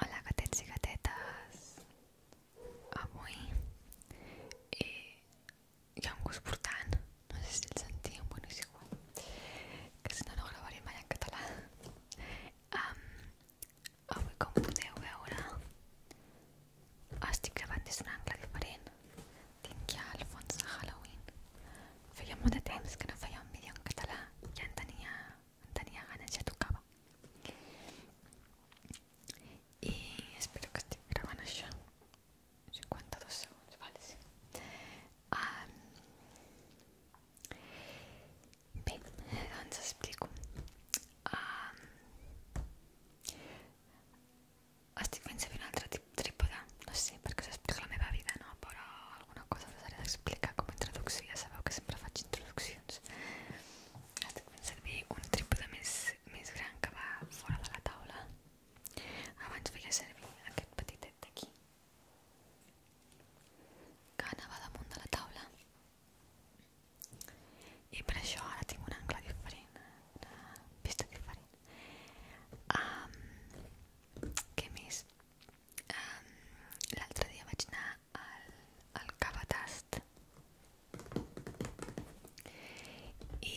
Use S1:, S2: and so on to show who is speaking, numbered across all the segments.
S1: Hola gatets i gatetes! Avui eh, hi eh, ha un gos portant, no sé si el sentiu, bueno és igual, que si no no gravaré mai en català. Um, avui com podeu veure estic gravant des d'un angle diferent tinc el fons de Halloween. Feia molt de temps que no feia un vídeo en català, ja en ganas, ya tenia ganes, espero que estic gravant això. 52 segundos, vale, sí. Bien, bé, explico. estic fent servir un altre trípode, no sé perquè us explico la meva vida, no? Però alguna cosa us haré d'explicar com a introducció, ja sabeu que sempre faig introduccions. Estic fent servir un trípode més, més gran que va fora de la taula. Abans feia servir aquest petitet d'aquí, que anava damunt de la taula. I per això ara tinc un angle diferent, una vista diferent. Um, què més? Um, L'altre dia vaig anar al, al Cabatast i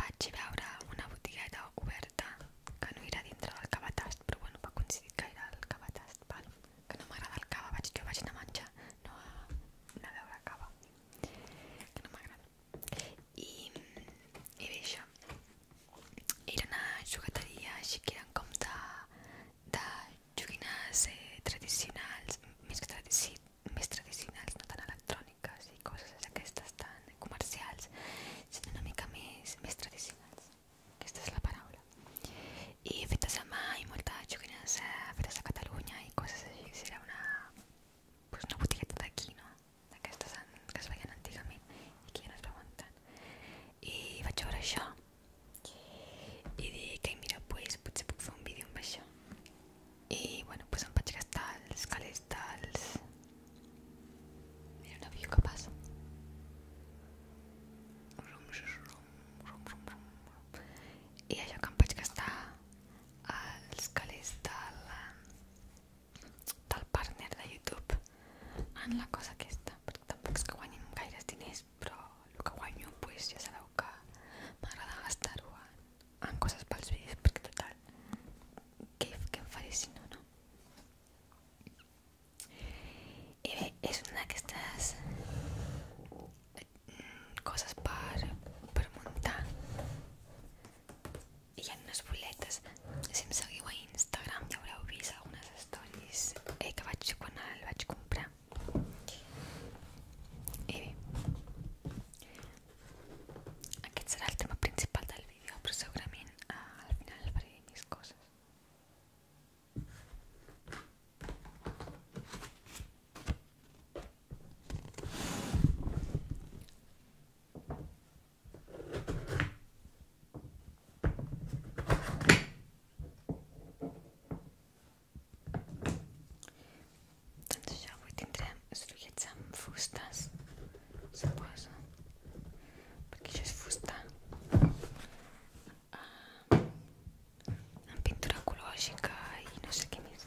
S1: vaig veure una botigueta oberta que no era dintre del Cabatast, però bueno, va coincidir que era el Cabatast, val? que no m'agrada el cava, vaig, jo vaig anar a menjar, no a, anar a veure cava, que no m'agrada i, i bé això era una jugateria així que eren com de, de joguines eh, tradicionals més que tradici, més tradicionals no tan electròniques i coses aquestes tan comercials sinó una mica més, més tradicionals aquesta és la paraula i fetes a mà i moltes joguines eh, fetes a Catalunya i coses així era una, pues una botigueta d'aquí no? d'aquestes que es veien antigament i que ja no es veuen tant i vaig veure això i dic, ei mira, pues, potser puc fer un vídeo amb això i bueno, pues em vaig gastar els calés dels... mira un avió que passa rum, rum, rum, rum, rum. i això que em vaig gastar els calés de la del partner de YouTube en la cosa aquesta, perquè tampoc és que guanyin gaires diners, però el que guanyo pues, ja sabeu que m'agrada gastar-ho en, en coses pels vídeos, perquè total, què, què em faré si no, no? I bé, és una d'aquestes mm, coses per, per muntar y en unas boletas. si me seguiu en Instagram ja ahora vist algunas stories eh, que vaig a vaig comprar y bé será el tema principal del vídeo pero seguramente ah, al final faré mis cosas. Doncs ja avui tindrem, esfriguets amb fustes, suposo, perquè això és fusta uh, ah, amb pintura ecològica i no sé què més.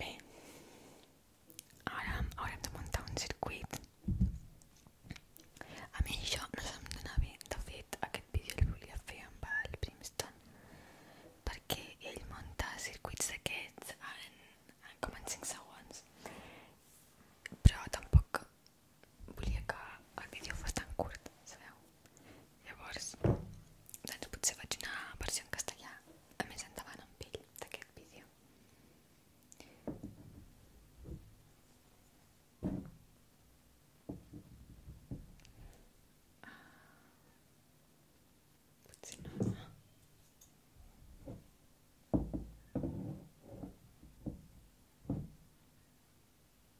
S1: Bé, ara haurem de muntar un circuit. A mi això no se'm dona bé. De fet, aquest vídeo el volia fer amb el Brimstone perquè ell munta circuits d'aquests ah, en, eh, en com en 5 segons. Però tampoc volia que el vídeo fos tan curt, sabeu? Llavors, doncs potser faig una versió en castellà a més endavant amb ell d'aquest vídeo. Potser no, no.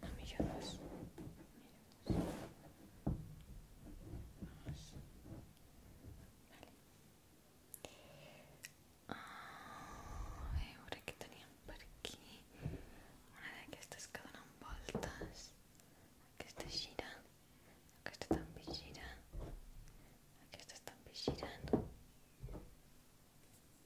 S1: ahora me llamas. por tenían Vamos. Vale. aquí. Una que está vueltas esta gira. esta están gira.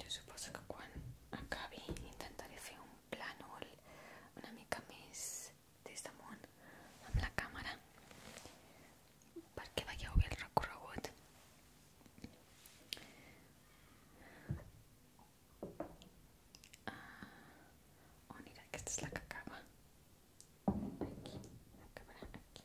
S1: Yo supongo que cuando acabi intentaré hacer un plano una mica més des damunt este amb la que vaya a ver el robot Ah, oh, mirar que esta es la que acaba. Aquí, acabarà aquí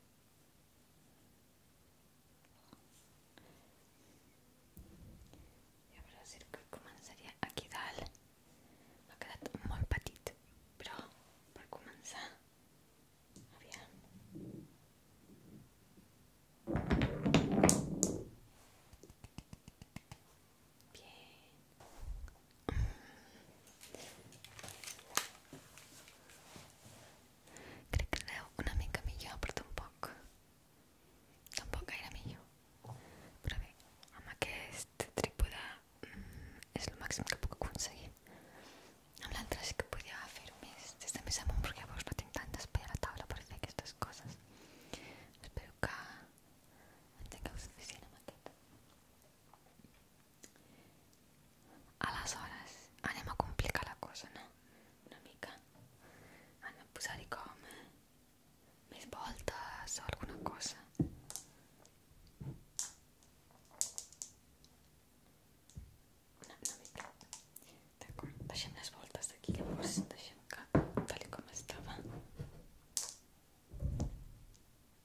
S1: y ahora el que comenzaría aquí ha quedado muy patito petit, pero pero comenzar comenzar, Bien. Crec que aneu una mica millor, però tampoc. Tampoc gaire millor. Però bé, amb aquest trípode mm, és el màxim que puc aconseguir. Amb l'altre sí que podia fer-ho més des de més amunt, perquè llavors no tinc tant d'espai a la taula per fer aquestes coses. Espero que en tingueu suficient amb aquest. Aleshores, anem a complicar la cosa, no? Una mica. Anem a posar-hi com eh? més voltes o alguna cosa. Una, una mica. D'acord, deixem les voltes d'aquí, llavors deixem que tal com estava.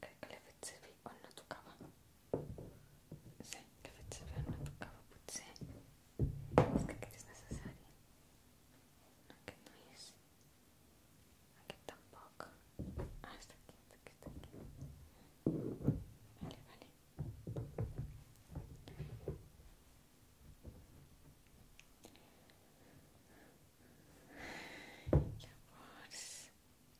S1: que sí одна такава. o no tocaba, sí Es que es necesario No, que no es. Aquí tampoco. Ah, está aquí, está aquí, Vale, vale. Pues.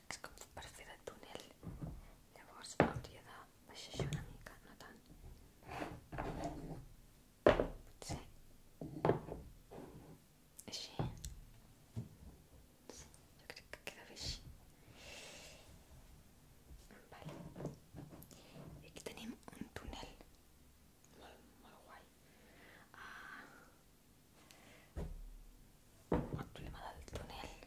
S1: arcs com per fer de túnel llavors hauria de baixar això una mica no tant potser així sí, jo crec que queda bé així vale. i aquí tenim un túnel molt, molt guai ah, el problema del túnel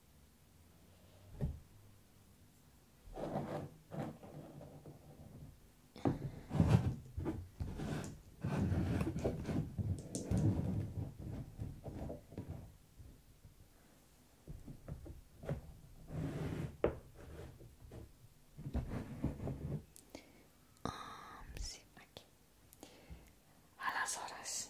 S1: Ah, sí, aquí. A las horas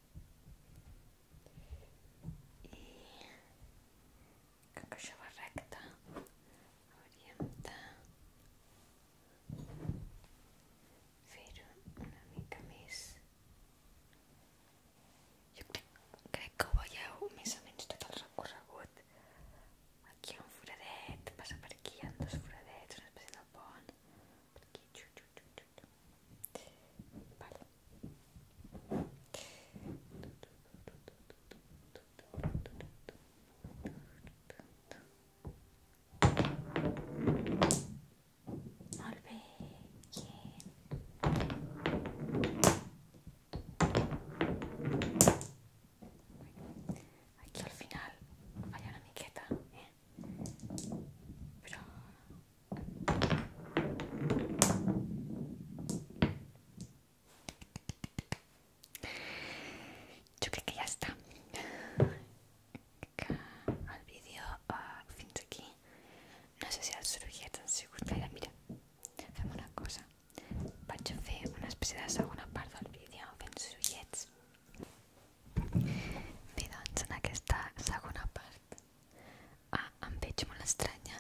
S1: i com que això va recte hauríem de fer-ho una mica més jo crec, crec que ho veieu més o menys tot el recorregut aquí hi ha un foradet, passa per aquí hi ha dos foradets, una espècie de pont porque Vale. Aquí al final falla la miqueta, eh? Yo creo que ya está. al vídeo uh, aquí. No sé si el sorollet ens sigut Mira, hacemos una cosa. Voy a hacer una especie de segunda parte del vídeo fent Mira doncs, en esta segunda parte, ah, em muy extraña estranya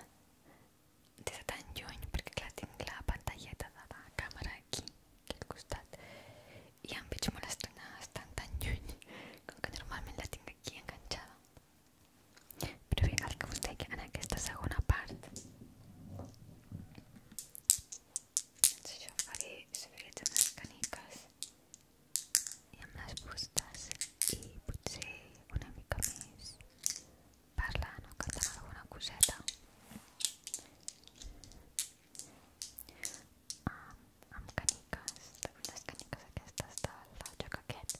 S1: tan lluny, porque la tengo la pantalla de la cámara aquí, que al gusta. Y em veig muy extraña tan joy, como que normalmente la tengo aquí enganchada Pero bien, el que usted que en esta segunda parte parte. jo faré, si unes canicas. i amb les fustes i potser una mica més parlant o cantant alguna coseta um, amb caniques les caniques aquestes del joc aquest